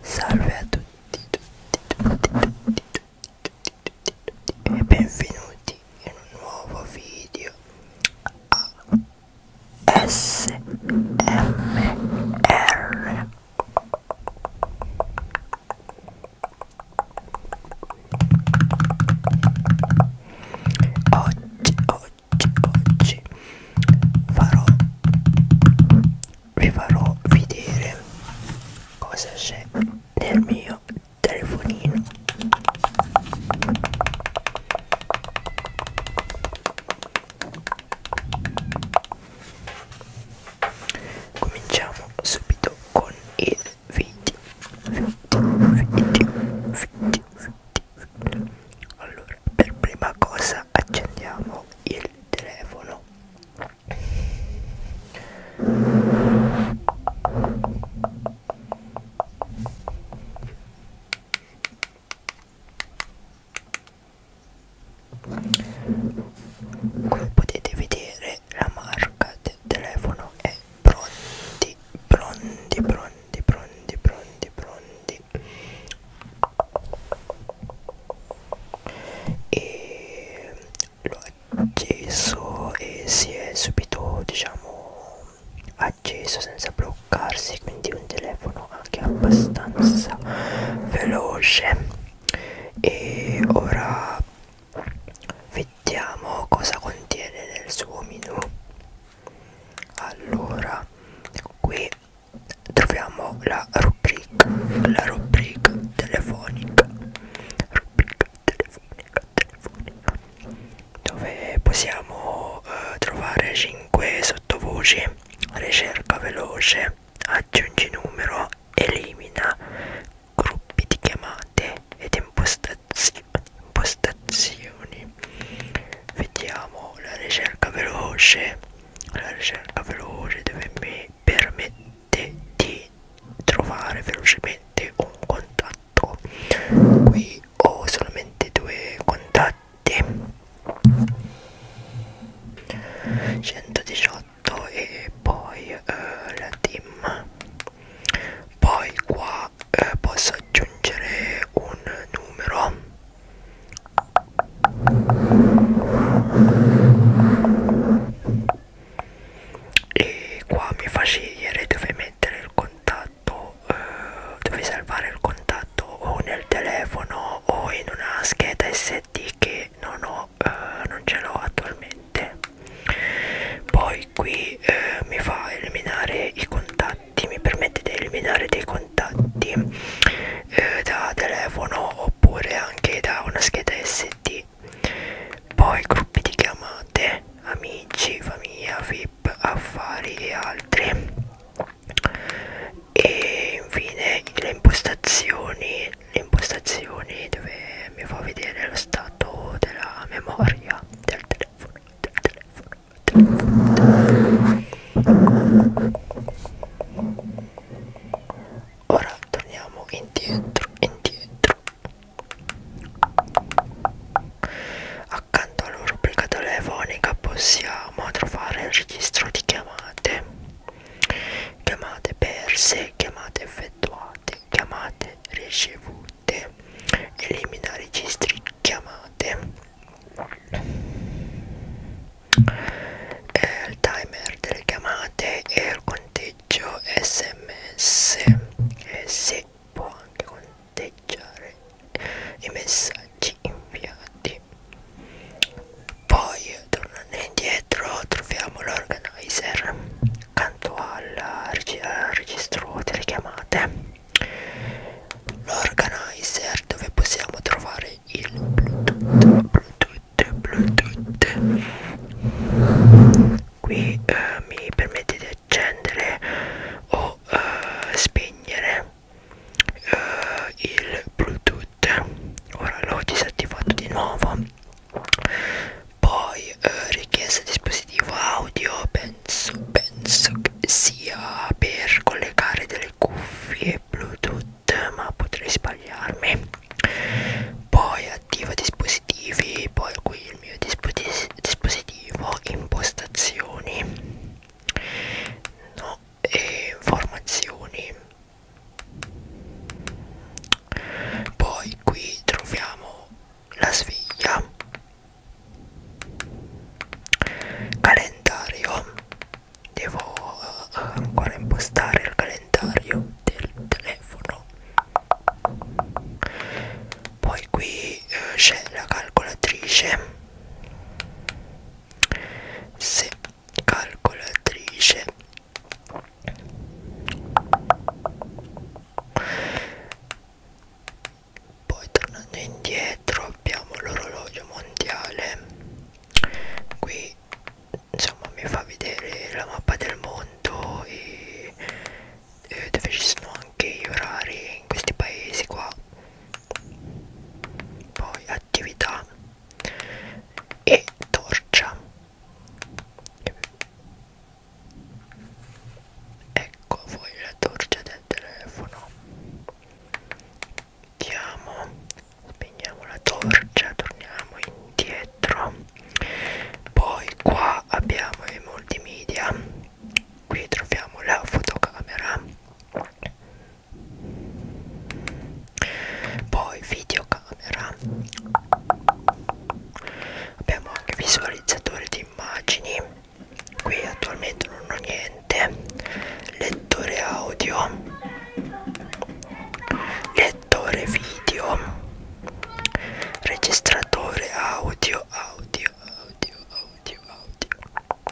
Salve a tutti, tutti, tutti, tutti, tutti, tutti e benvenuti in un nuovo video a SMR oggi oggi oggi farò vi farò vedere cosa c'è nel mio telefonino cominciamo subito con il 20 20 20 20 allora per prima cosa accendiamo il telefono come potete vedere la marca del telefono è pronti pronti pronti pronti pronti pronti e l'ho acceso e si è subito diciamo acceso senza bloccarsi quindi un telefono anche abbastanza veloce e ora vediamo cosa contiene nel suo menu allora qui troviamo la rubrica la rubrica telefonica rubrica telefonica telefonica dove possiamo eh, trovare 5 sottovoci ricerca veloce aggiungi numero elimina gruppi di chiamate ed impostazioni, impostazioni. vediamo la ricerca veloce la ricerca veloce dove mi permette di trovare velocemente un contatto qui ho solamente due contatti 118 fatto e poi eh, la team poi qua eh, posso aggiungere un numero e qua mi fa scegliere dove mettere il contatto eh, dove salvare il contatto o nel telefono o in una scheda SD che non ho eh, non ce l'ho attualmente poi qui eh, mi fa eliminare i contatti mi permette di eliminare dei contatti eh, da telefono oppure anche da una scheda sd poi gruppi di chiamate amici famiglia vip affari e altri e infine le impostazioni impostazioni dove mi fa vedere lo stato della memoria del telefono, del telefono, del telefono, del telefono. Ora torniamo indietro, indietro. Accanto alla rubrica telefonica possiamo trovare il registro di chiamate chiamate perse, chiamate effettuate, chiamate ricevute, elimina registri chiamate. Eh, il timer delle chiamate e il conteggio sms e si può anche conteggiare i messaggi inviati poi tornando indietro troviamo l'organizer accanto alla, al eh, registro delle chiamate l'organizer dove possiamo trovare il bluetooth bluetooth bluetooth qui eh, mi permette di accendere o eh, spegnere eh, il bluetooth ora l'ho disattivato di nuovo poi eh, richiesta dispositivo audio penso, penso che sia per collegare delle cuffie bluetooth ma potrei sbagliarmi poi attiva dispositivi poi qui il mio disposi dispositivo impostazioni no e informazioni poi qui troviamo la sveglia calendario devo eh, ancora impostare il calendario del telefono poi qui eh, c'è la calcolatrice se calcolatrice poi tornando indietro abbiamo l'orologio mondiale qui insomma mi fa vedere la mappa del mondo e, e dove ci sono anche gli orari in questi paesi qua poi attività e torcia ecco voi la torcia del telefono Andiamo, spegniamo la torcia, torniamo indietro. Poi qua abbiamo i multimedia, qui troviamo la fotocamera poi videocamera abbiamo anche visualizzatore di immagini qui attualmente non ho niente lettore audio lettore video registratore audio audio audio audio audio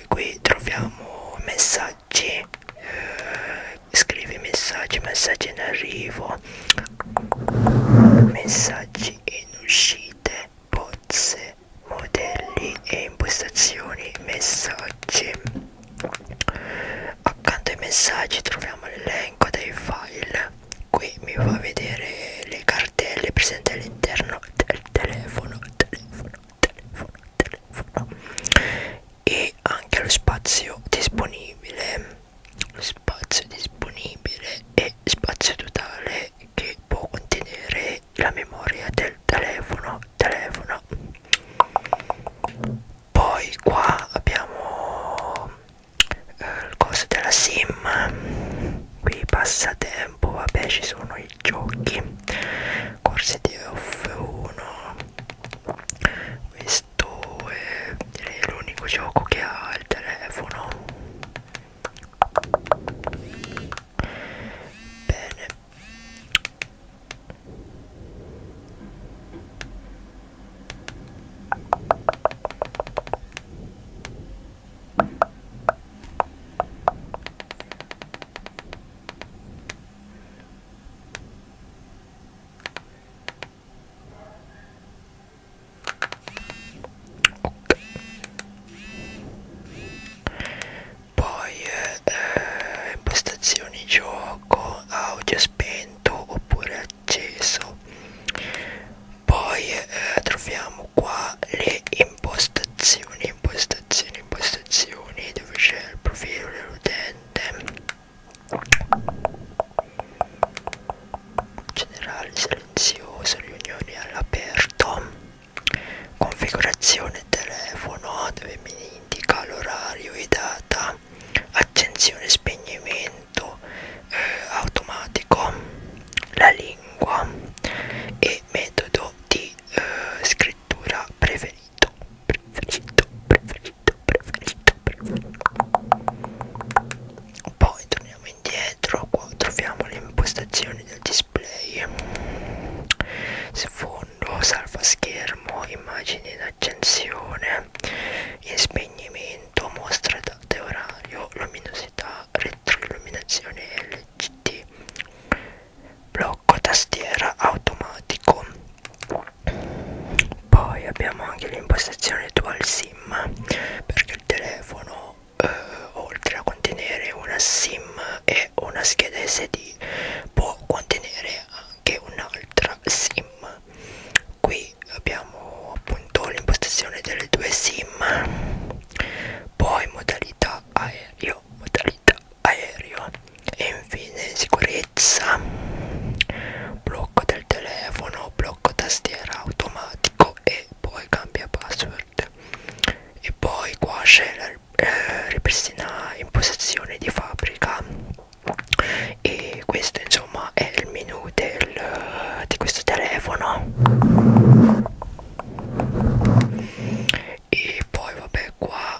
poi qui troviamo messaggi eh, scrivi messaggi messaggi in arrivo messaggi in uscite pozze modelli e impostazioni messaggi accanto ai messaggi troviamo l'elenco dei file qui mi fa vedere le cartelle presenti all'interno del telefono telefono telefono, telefono e anche lo spazio disponibile lo spazio disponibile è spazio totale che può contenere la memoria del telefono telefono poi qua abbiamo eh, il coso della sim qui passa tempo vabbè ci sono i giochi corsi di F1 questo è l'unico gioco che ha il telefono bene poi eh, eh, prestazioni gioco, audio spento oppure acceso poi eh, troviamo qua le impostazioni impostazioni impostazioni dove c'è il profilo dell'utente generale silenzioso riunioni all'aperto configurazione telefono dove mi indica l'orario e data accensione spegnimento eh, automatico, la lingua e metodo di eh, scrittura preferito, preferito, preferito, preferito, preferito. Poi torniamo indietro, qua troviamo le impostazioni del display, sfondo, salva schermo, immagini in accensione, in spegnimento, mostra da costante orario, luminosità, retroilluminazione LCD, blocco tastiera automatico. Poi abbiamo anche l'impostazione dual sim perché il telefono eh, oltre a contenere una sim e una scheda SD può contenere anche un'altra sim qui poi abbiamo appunto l'impostazione delle due sim poi modalità aereo modalità aereo e infine sicurezza blocco del telefono blocco tastiera automatico e poi cambia password e poi qua c'è la eh, ripristina impostazione di fabbrica e questo insomma è il menu del, di questo telefono e poi vabbè qua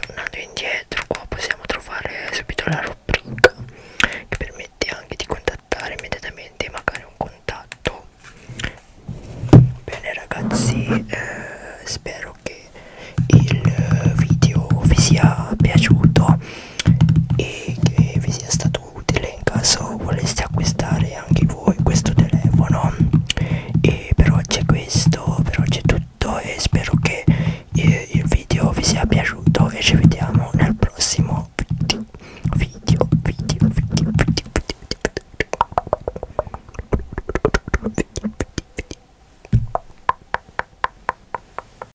tornando indietro qua possiamo trovare subito la rubrica che permette anche di contattare immediatamente magari un contatto bene ragazzi eh, spero che il video vi sia piaciuto e che vi sia stato utile in caso voleste acquistare anche voi questo telefono e per oggi è questo per oggi è tutto e spero che eh, il video vi sia piaciuto e ci vediamo nel prossimo video video video video video video video video video